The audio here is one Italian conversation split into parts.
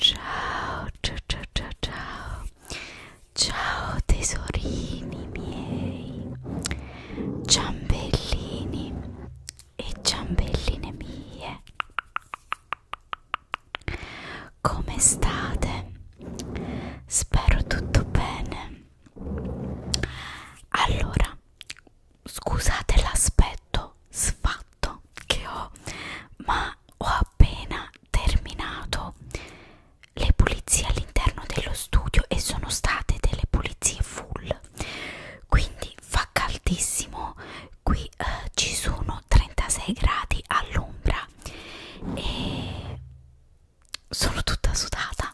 Ciao, ciao, ciao, ciao, ciao, ciao tesorini miei, ciambellini e ciambelline mie. Come state? Spero tutto bene allora scusate l'aspetto sfatto che ho ma ho appena terminato le pulizie all'interno dello studio e sono state delle pulizie full quindi fa caldissimo qui eh, ci sono 36 gradi all'ombra e sono tutta sudata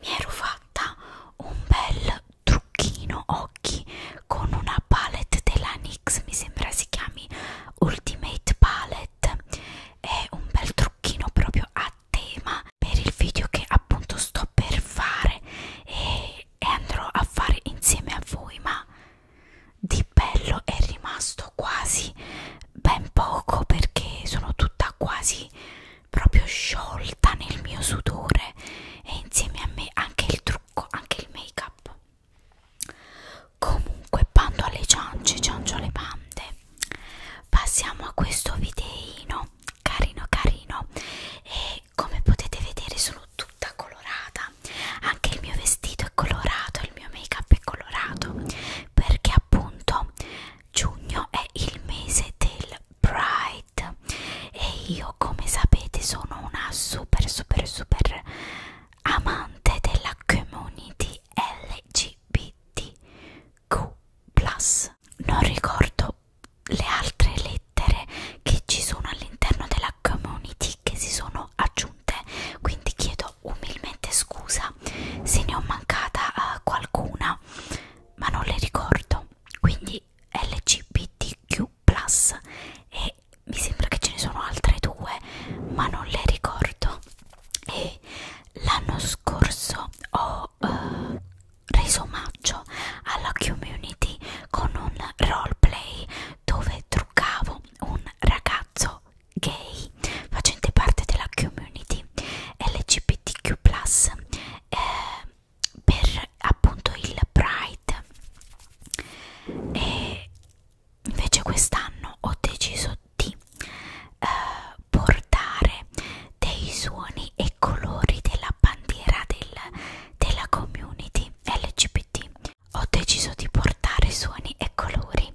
mi ero fatta un bel trucchino occhi con una palette della NYX mi sembra si chiami Ultimate Palette è un bel trucchino proprio a tema per il video che appunto sto per fare e, e andrò a fare insieme a voi ma di bello è rimasto quasi ben poco perché sono tutta quasi proprio sciolta nel mio sudore e insieme a me anche il trucco, anche il make up. Comunque, bando alle ciance, ciancio alle bande, passiamo a questo videino carino carino e come potete vedere sono tutta colorata, anche il mio vestito è colorato, il mio make up è colorato perché appunto giugno è il mese del Pride e io come sapete sono una super super super amante della community LGBTQ non ricordo le altre lettere che ci sono all'interno della community che si sono aggiunte quindi chiedo chiedo umilmente scusa se ne ho mancata uh, qualcuna, ma non le ricordo. Quindi LGBTQ e mi sembra che ce ne sono altre due, ma non le ricordo. E l'anno scorso ho uh, reso omaggio alla community con un roleplay dove truccavo un ragazzo gay facente parte della community LGBTQ+, eh, per appunto il Pride e invece quest'anno ho deciso di eh, portare dei suoni e colori della bandiera del, della community LGBT ho deciso di portare suoni e colori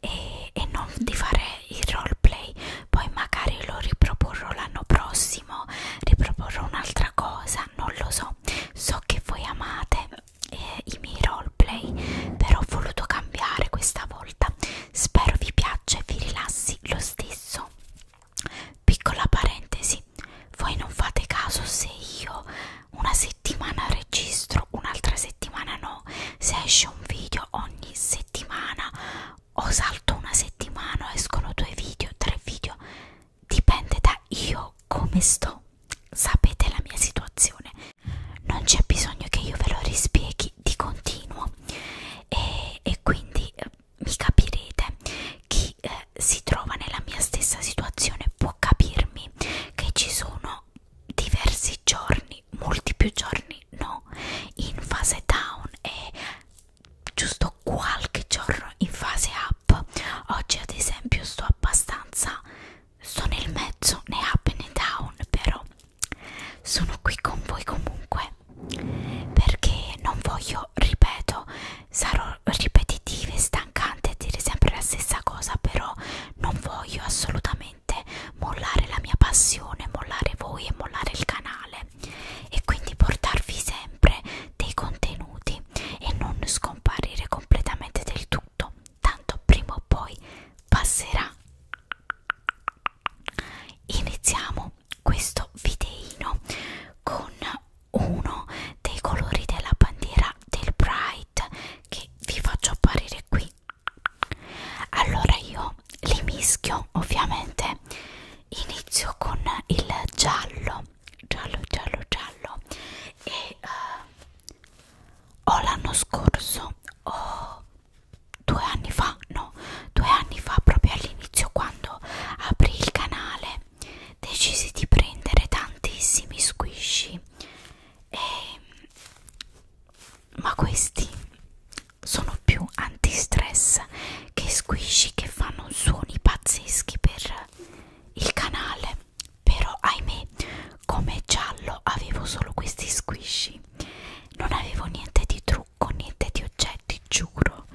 e, e non di fare il roleplay poi magari lo riproporrò l'anno prossimo riproporrò un'altra cosa non lo so so che voi amate eh, i miei roleplay però ho voluto cambiare questa volta spero vi piaccia e vi rilassi lo stesso piccola parentesi voi non fate caso se io una settimana registro un'altra settimana no no se esce un video ogni settimana o salto una settimana o escono due video tre video dipende da io come sto sapete la mia situazione non c'è bisogno che io ve lo rispieghi di continuo e, e quindi eh, mi capirete chi eh, si trova nella mia stessa situazione può capirmi che ci sono diversi giorni giorni, molti più giorni no, in fase down e giusto qualche giorno in fase up. Oggi ad esempio sto abbastanza, sto nel mezzo né up né down, però sono qui con voi comunque perché non voglio, ripeto, sarò ripetitiva e stancante a dire sempre la stessa cosa, però non voglio assolutamente veramente mollare la mia passione, mollare voi e mollare il canale e quindi portarvi sempre dei contenuti e non scomparire completamente del tutto, tanto prima o poi passerà. Iniziamo questo videino con uno dei colori della bandiera del Pride che vi faccio apparire qui allora io li mischio ovviamente inizio con il giallo giallo giallo giallo e uh, o l'anno scorso o due anni fa no due anni fa proprio all'inizio quando aprì il canale decisi di prendere tantissimi squishy e ma questi sono più antistress che squishy che fanno suoni pazzeschi per il canale però ahimè come giallo avevo solo questi squishy non avevo niente di trucco niente di oggetti giuro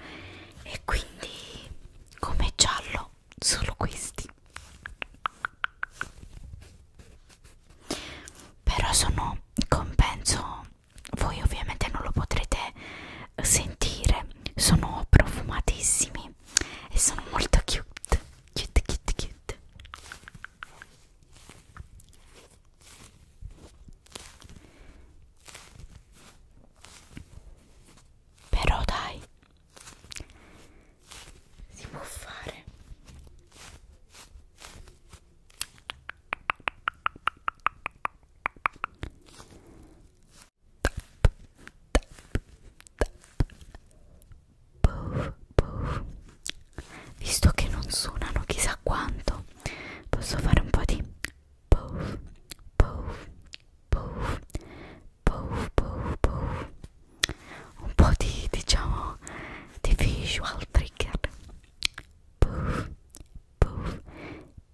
e quindi come giallo solo questi però sono compenso voi ovviamente non lo potrete eh, sentire sono profumatissimi e sono molto cute cute cute cute però dai si può fare Puff, puff. visto che non suonano chissà quanto posso fare un po' di puff, puff, puff, puff, puff, puff, puff un po' di diciamo di visual trigger puff puff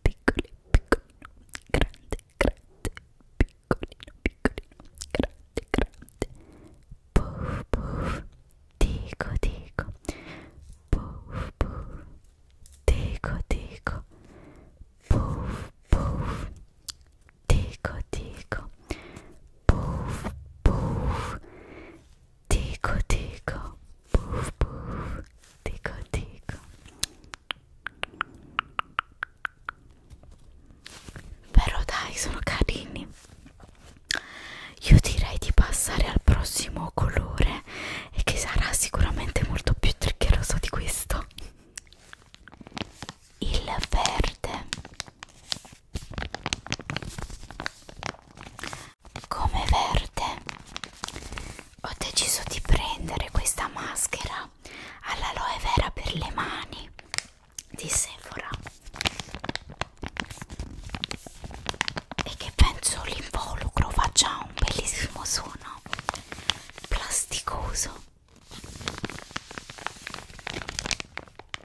piccoli piccolino grande grande piccolino piccolino grande grande puff puff dico dico puff puff dico dico puff puff dico dico puff puff dico dico puff puff dico dico però dai sono carini io direi di passare al prossimo colore e che sarà sicuramente molto più triggeroso di questo il verde come verde ho deciso di prendere questa maschera all'aloe vera per le mani di Sephora e che penso l'involucro faccia un bellissimo suono plasticoso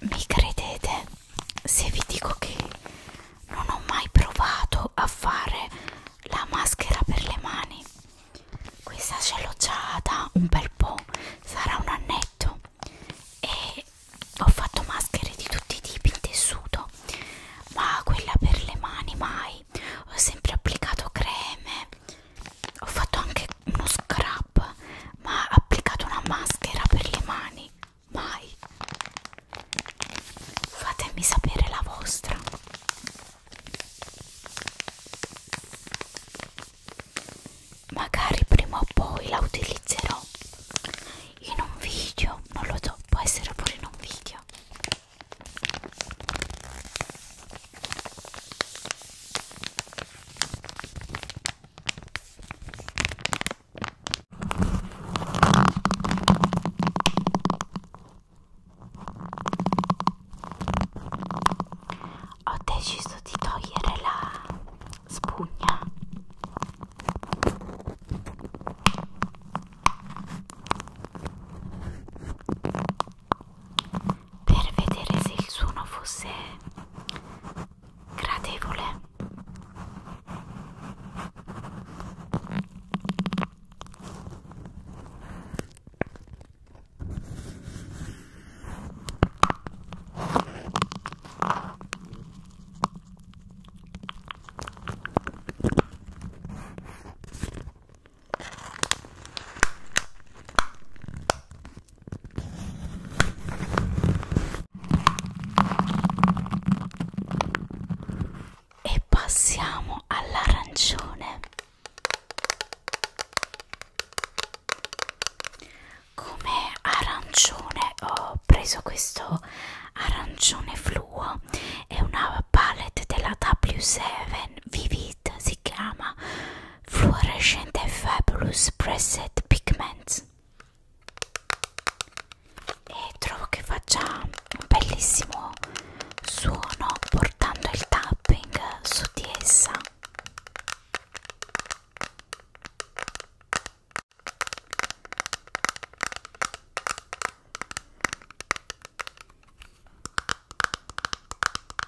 Mi credete se vi dico che non ho mai provato a fare la maschera per le mani? Questa ce l'ho già da un bel po', sarà un annetto e ho fatto maschere di tutti i tipi in tessuto, ma quella per le mani mai. Ho sempre applicato creme ho fatto anche uno scrub ma ho applicato una maschera per le mani mai fatemi sapere la vostra magari prima o poi la utilizzerò in un video non lo so può essere pure in un video ho deciso di togliere la spugna. Per vedere se il suono fosse gradevole e passiamo all'arancione come arancione ho preso questo arancione fluo è una palette della W7 Vivid si si chiama Fluorescent Fabulous Preset Pigments e trovo che faccia un bellissimo suono portando il tapping su di essa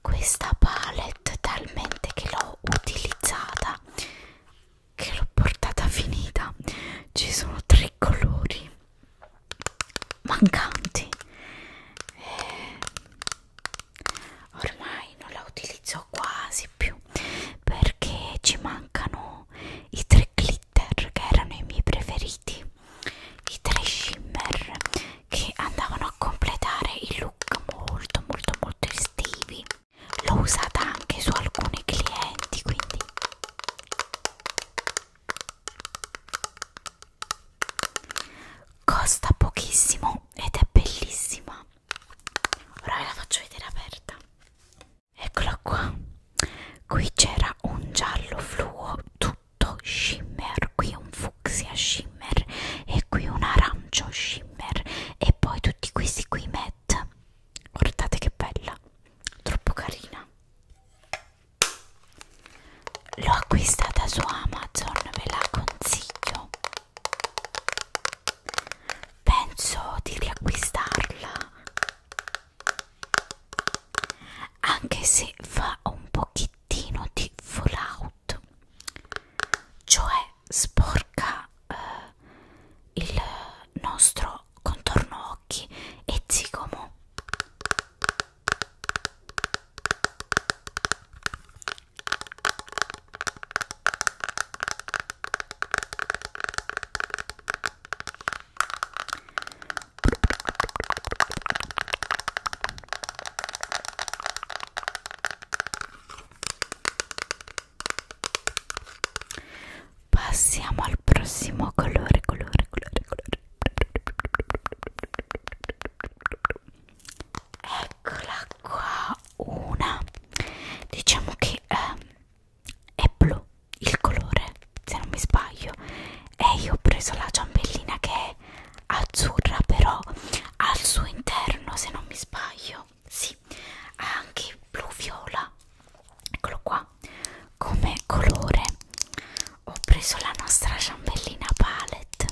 questa palette talmente che l'ho utilizzata che l'ho portata finita ci sono tre colori mancanti eh, ormai non la utilizzo quasi più perché ci mancano i tre clip glitter che erano i miei preferiti i tre shimmer che andavano a completare il look molto molto molto estivi l'ho usata anche su alcuni clienti quindi costa pochissimo ed è bellissima ora ve la faccio vedere aperta eccola qua qui c'era un giallo fluo tutto tutto shimmer qui un fucsia shimmer e qui un arancio shimmer e poi tutti questi qui matte guardate che bella troppo carina l'ho acquistata su amazon ve la consiglio penso di riacquistarla anche se fa un pochettino di fallout cioè sporca eh, il nostro contorno occhi e zigomo Passiamo al prossimo colore, colore, colore, colore. Eccola qua, una. Diciamo che eh, è blu il colore se non mi sbaglio e io ho preso la ciambellina che è azzurra però al suo interno se non mi sbaglio sì ha anche blu viola eccolo qua come colore ho preso la nostra ciambellina palette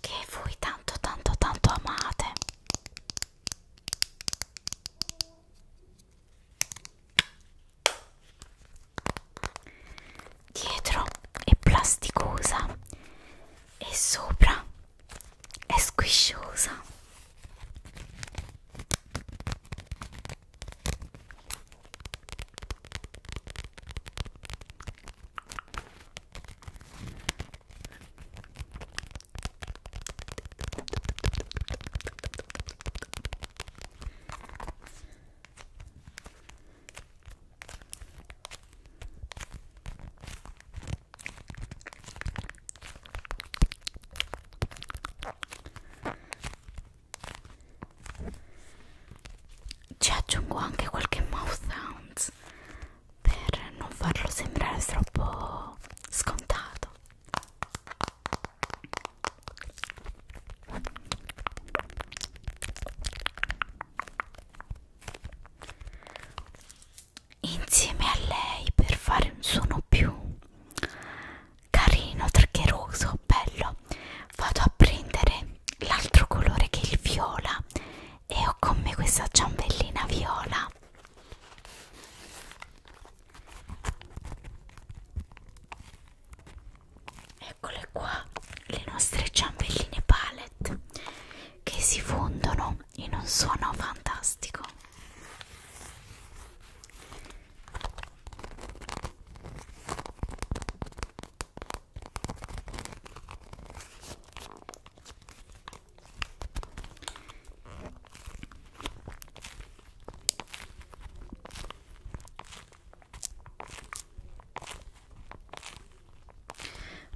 che voi tanto tanto tanto amate Dietro è plasticosa e sopra è squisciosa ci aggiungo anche qualche mouth sounds per non farlo sembrare troppo scontato insieme a lei per fare un suono più carino, traccheroso, bello vado a prendere l'altro colore che è il viola e ho con me questa ciambellina viola eccole qua le nostre ciambelline palette che si fondono in un suono fantastico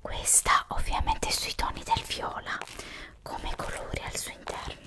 questa ovviamente sui toni del viola come colore al suo interno.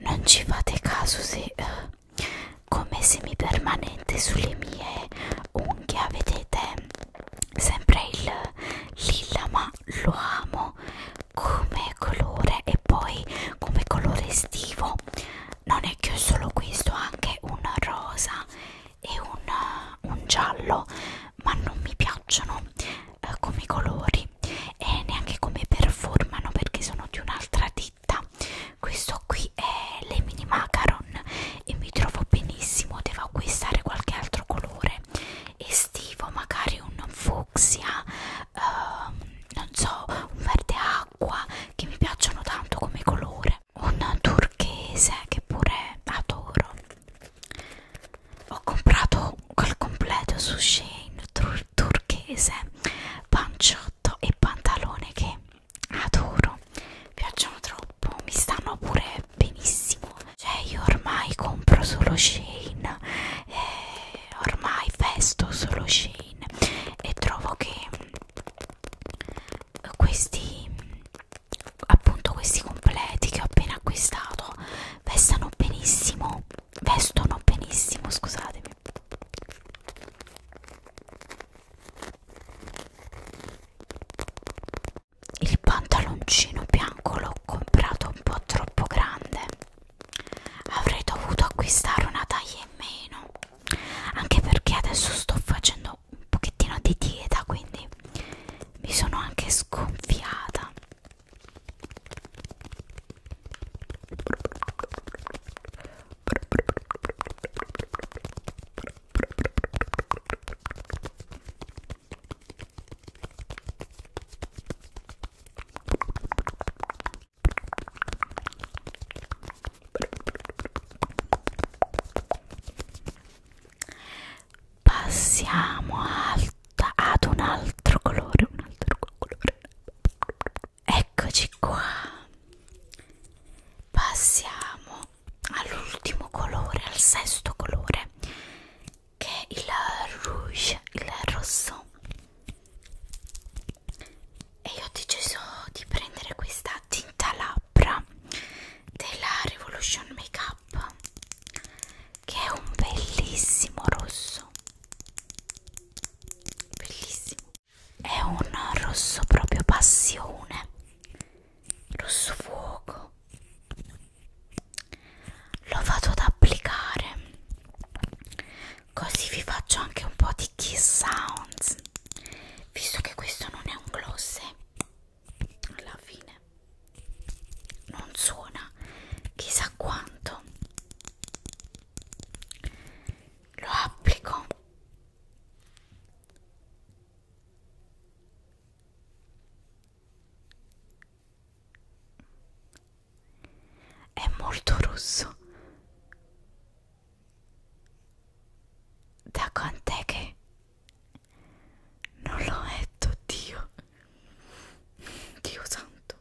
Non ci fate caso se eh, come semipermanente sulle mie unghie vedete sempre il lilla ma lo amo come colore e poi come colore estivo non è che solo questo anche un rosa e un, un giallo ma non mi piacciono eh, come colori così e neanche come performano perché sono di un'altra ditta questo qui è le mini macaron e mi trovo benissimo devo acquistare qualche altro colore estivo magari un fucsia uh, non so un verde acqua che mi piacciono tanto come colore un turchese che pure adoro ho comprato col completo su Shane tur turchese, panciotto e pantalone che adoro, mi piacciono troppo, mi stanno pure benissimo. Cioè io ormai compro solo Shane, eh, ormai festo solo Shane e trovo che questi appunto questi completi che ho appena acquistato vestano benissimo vestono benissimo, scusatemi. Il pantaloncino bianco l'ho comprato un po' troppo grande. Avrei dovuto acquistare una taglia in meno. Anche perché adesso sto facendo un pochettino di dieta, quindi mi sono anche sgonfiata. Passiamo al tutta ad un altro colore, un altro colore. Eccoci qua. Passiamo all'ultimo colore, al sesto colore, che è il rouge, il rosso. E io ho deciso di prendere questa tinta labbra della Revolution Makeup che è un bellissimo rosso bellissimo è un rosso proprio passione rosso fuoco lo vado ad applicare così vi faccio anche un po' di kiss sounds visto che questo non è un gloss alla fine non suona chissà quanto lo applico è molto rosso da quant'è che non lo metto Dio Dio santo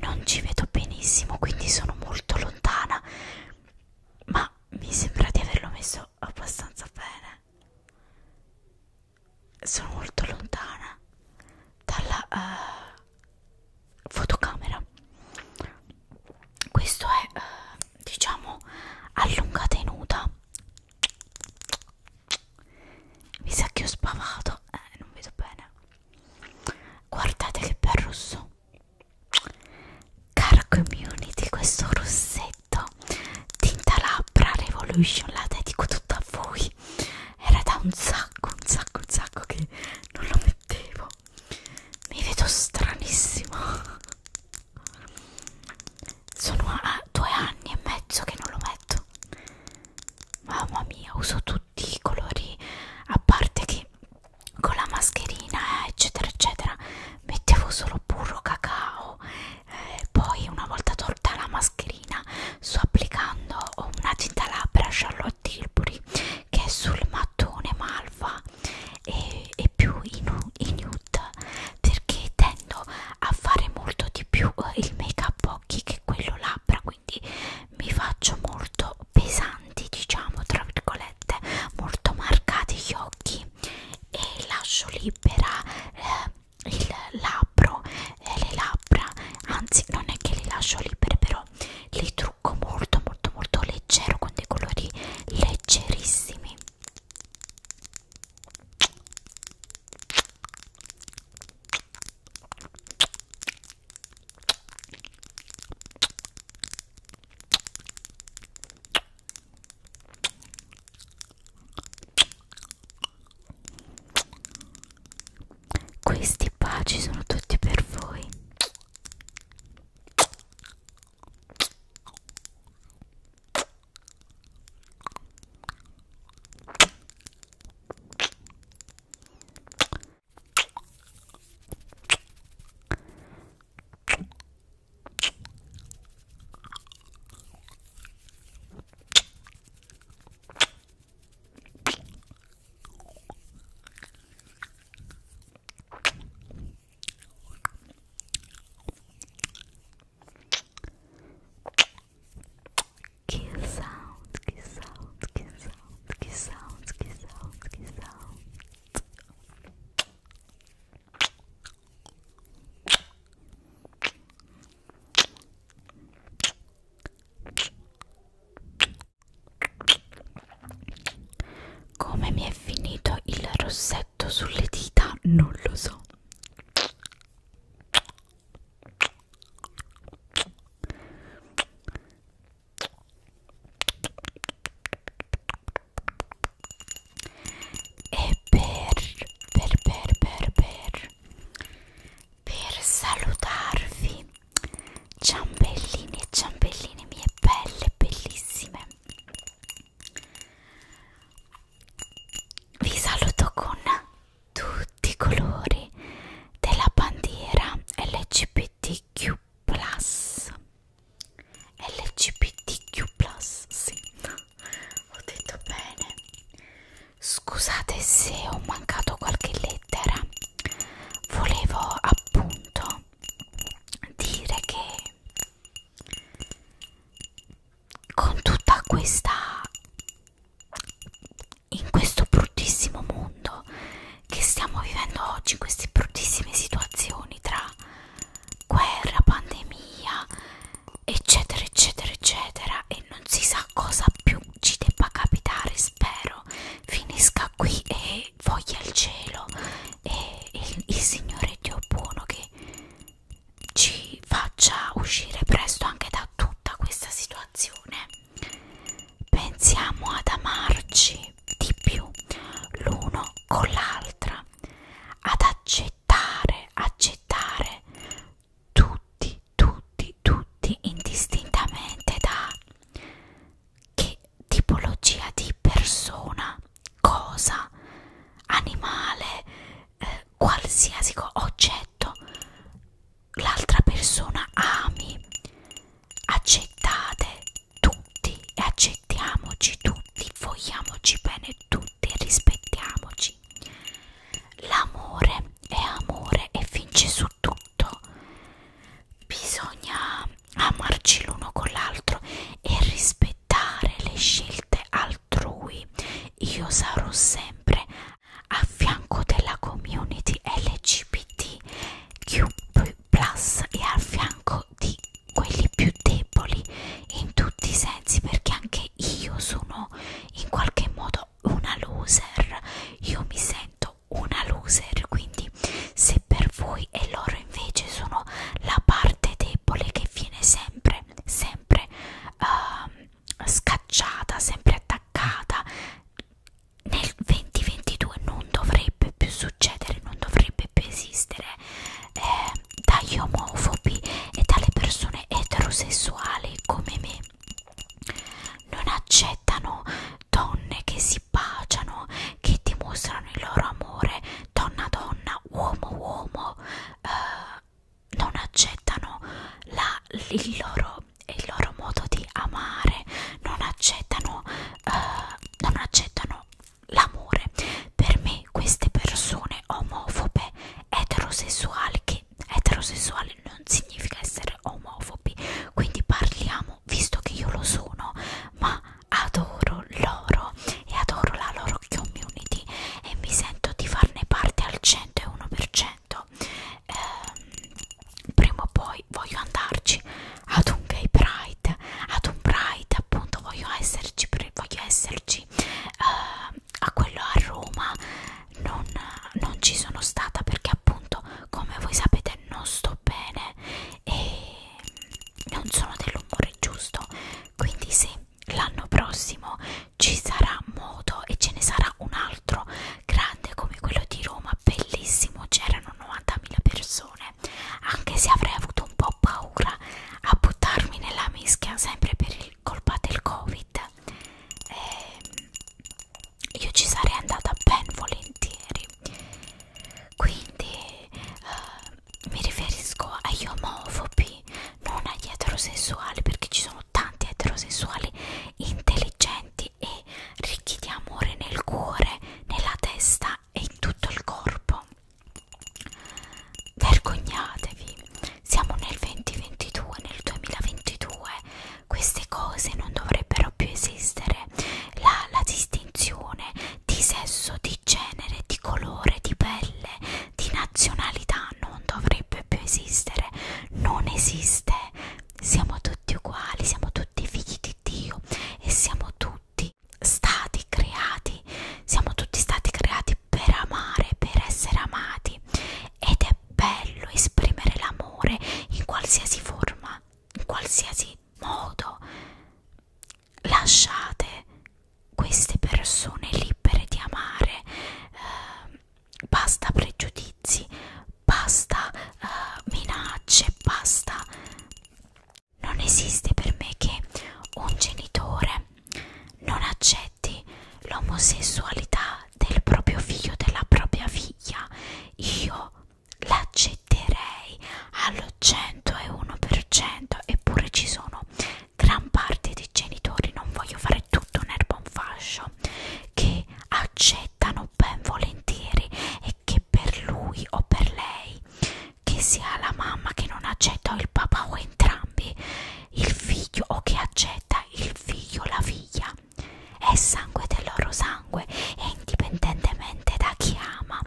non ci vedo benissimo, quindi sono molto lontana, ma mi sembra di averlo messo abbastanza bene sono molto lontana dalla uh, fotocamera questo è uh, diciamo allunga tenuta mi sa che ho spavato eh, non vedo bene guardate che bel rosso car community questo rossetto tinta labbra revolution la dedico tutta a voi sì, era da un sacco, un sacco, un sacco che non lo mettevo. Mi vedo stranissimo. Sono a due anni e mezzo che non lo metto. Mamma mia, uso tutti i colori, a parte che con la mascherina, eccetera, eccetera, mettevo solo burro, cacao. Eh, poi una volta tolto sorta la mascherina sto applicando una tinta labbra Charlotte Tilbury che è sul mattone malva e, e più in, in nude perché tendo a fare molto di più eh, il make up occhi che quello labbra quindi mi faccio molto pesanti diciamo tra virgolette molto marcati gli occhi e lascio libera eh, il labbro e le labbra anzi non è che le lascio libere però le trucco molto molto molto leggero con dei colori leggerissimi questi baci sono tutti per voi. Kiss sound, kiss sound, kiss sound, kiss sound, kiss sound, kiss sound. Come mi è finito il rossetto sulle dita? Non lo so. E per, per, per, per, per per salutarvi ciambellini e ciambelline mie belle bellissime vi saluto con tutti i colori della bandiera LGBTQ LGBTQ sì ho detto bene Scusate se ho mancato qualche lettera. Volevo appunto dire che con tutta questa in questo bruttissimo mondo che stiamo vivendo oggi, queste bruttissime situazioni tra guerra, pandemia eccetera eccetera eccetera e non si sa cosa più ci debba capitare spero finisca qui e voglia il cielo e il, il Signore Dio buono che ci faccia uscire presto anche da tutta questa situazione pensiamo ad amarci di più l'uno con l'altra ad accettare accettare tutti tutti, tutti indistintamente da che tipologia di persona, cosa, animale, eh, qualsiasi oggetto l'altra persona ami. Accettate tutti e accettiamoci tutti, vogliamoci bene tutti, rispettiamoci L'amore è amore e vince su tutto. Bisogna amarci l'uno con l'altro e rispettare le scelte altrui. Io sarò sempre a fianco della community LGBTQ e a fianco di quelli più deboli in tutti i sensi perché anche io sono in qualche modo una loser io mi sento una loser quindi se per voi e loro invece sono la parte debole che viene sempre sempre uh, scacciata sempre attaccata nel 2022 non dovrebbe più succedere non dovrebbe più esistere eh, dagli omofobi e dalle persone eterosessuali come me non accettano donne che si baciano, che dimostrano il loro amore, donna donna, uomo uomo, eh, non accettano la, il, loro, il loro modo di amare, non accettano, eh, non accettano l'amore. Per me queste persone omofobe, eterosessuali che essere eterosessuali non significa essere omofobi quindi parliamo visto che io lo sono ma adoro loro e adoro la loro community e mi sento di farne parte al 101% eh, prima o poi voglio andarci ad un gay pride ad un pride appunto voglio esserci voglio esserci eh, a quello a Roma non, non ci sono stata perché appunto come voi sapete non sto bene e non sono dell'umore giusto quindi sì l'anno prossimo ci sarà modo e ce ne sarà un altro grande come quello di Roma bellissimo c'erano 90.000 persone anche se avrei avuto un po' paura a buttarmi nella mischia sempre per il colpa del covid eh, io ci sarei andata ben volentieri quindi eh, mi riferisco agli omofobi non agli eterosessuali perché ci sono tanti eterosessuali intelligenti e ricchi di amore nel cuore nella testa e in tutto il corpo vergognatevi siamo nel 2022 nel 2022 queste cose non dovrebbero più esistere la, la distinzione di sesso di genere di colore di pelle di nazionalità non dovrebbe più esistere non esiste siamo tutti uguali siamo tutti figli di Dio e siamo tutti stati creati siamo tutti stati creati per amare, per essere amati ed è bello esprimere l'amore in qualsiasi forma, in qualsiasi modo. Lasciate queste persone libere di amare, eh, basta pregiudizi, basta eh, minacce, basta... Non esiste per me che un genitore non accetti accetti l'omosessualità del proprio figlio, della propria figlia, io l'accetterei allo 101%, eppure ci sono gran parte dei genitori, non voglio fare tutto un erba un fascio, che accettano ben volentieri e che per lui o per lei, che sia la mamma che non accetta o il papà o entrambi, il figlio o che accetta il figlio o la figlia è sangue del loro sangue e indipendentemente da chi ama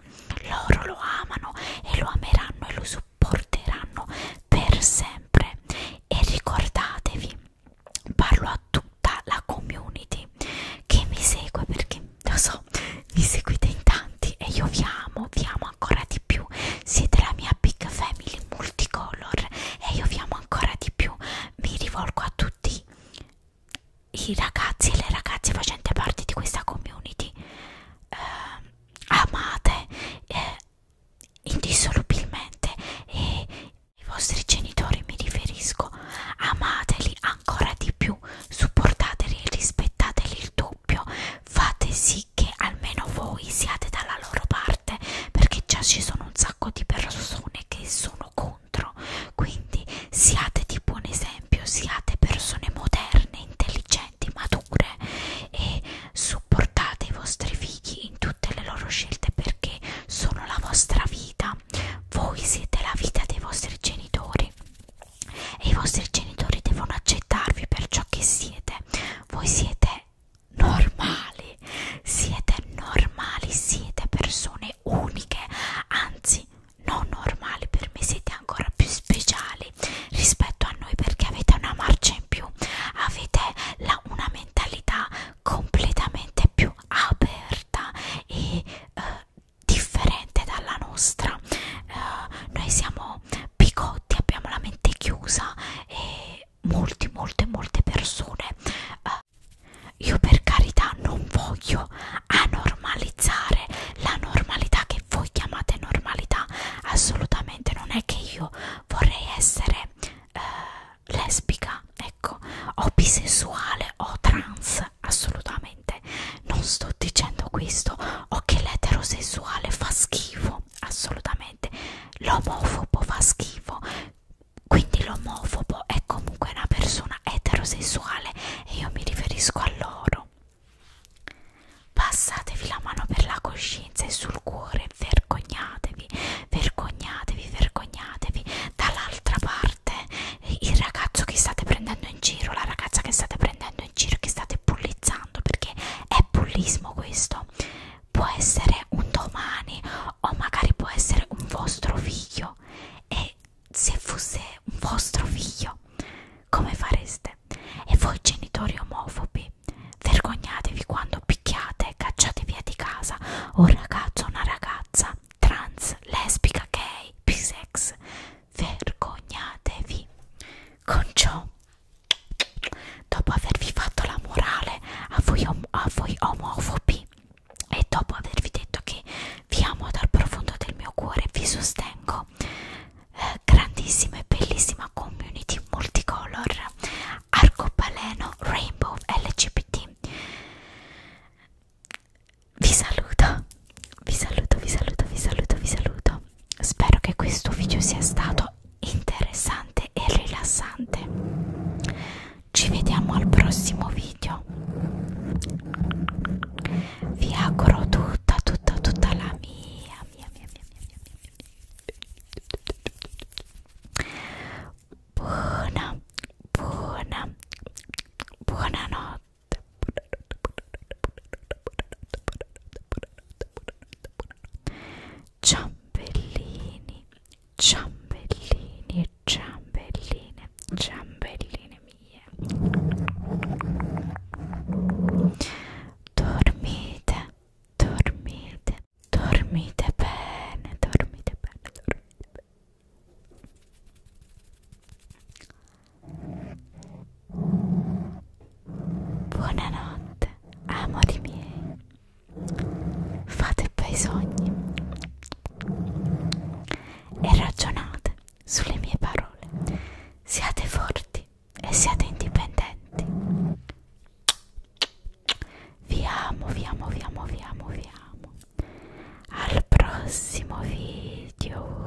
loro lo amano e lo ameranno e lo supporteranno per sempre e ricordatevi parlo a tutta la community che mi segue perché lo so mi seguite in tanti e io vi amo vi amo ancora di più siete la mia big family multicolor e io vi amo ancora di più mi rivolgo a tutti i ragazzi e le ragazze facenti parte di questa community eh, amate eh, indissolubilmente e i vostri genitori mi riferisco amateli ancora di più supportateli rispettateli il doppio fate sì che almeno voi siate dalla loro parte perché già ci sono un sacco di persone che sono contro quindi siate di buon esempio siate persone moderne intelligenti mature e supportate i vostri figli in tutte le loro scelte perché sono la vostra vita voi siete la vita dei vostri genitori e i vostri genitori devono accettarvi per ciò che siete voi siete normali, siete normali, siete persone uniche, anzi non normali, per me siete ancora più speciali rispetto a noi perché avete una marcia in più, avete la, una mentalità completamente più aperta e eh, differente dalla nostra. Eh, noi siamo siamo bigotti, abbiamo la mente chiusa e molte, molte, molte persone. Eh, io per carità non voglio anormalizzare la normalità che voi chiamate normalità, assolutamente non è che io vorrei essere eh, lesbica, ecco, o bisessuale o trans, assolutamente non sto dicendo questo, o che l'eterosessuale fa schifo, no, assolutamente. L'omofobo fa schifo. Quindi l'omofobo è comunque una persona eterosessuale e io mi riferisco a loro. Passatevi la mano per la coscienza e sul cuore, vergognatevi, vergognatevi, vergognatevi. Dall'altra parte, il ragazzo che state prendendo in giro, la ragazza che state prendendo in giro, che state bullizzando, perché è bullismo questo, figlio può essere un domani o magari può essere un vostro figlio e se fosse un vostro figlio come fareste? E voi genitori omofobi vergognatevi quando picchiate, cacciate via di casa un ragazzo o una ragazza trans, lesbica, gay, bisex vergognatevi con ciò dopo avervi fatto la morale a voi, om a voi omofobi e dopo avervi detto che vi amo dal profondo del mio cuore vi sostengo eh, grandissima e bellissima community multicolor arcobaleno rainbow lgbt vi saluto vi saluto vi saluto vi saluto vi saluto spero che questo video sia stato interessante e rilassante. Ci vediamo al prossimo video. Vi auguro tutta, tutta, tutta la mia, mia, mia, mia, mia, mia, mia, mia. buona, buona, buonanotte. Buonanotte, buonanotte, buonanotte, buonanotte, buonanotte, buonanotte, buonanotte, buonanotte, ciambellini ciambellini ciambelline ciambelline mie dormite dormite dormite bene dormite bene dormite bene Buonanotte, amori miei. Fate bei sogni e ragionate sulle mie parole. Siate forti e siate indipendenti. Vi amo, vi amo, vi amo, vi amo, vi amo. Al prossimo video.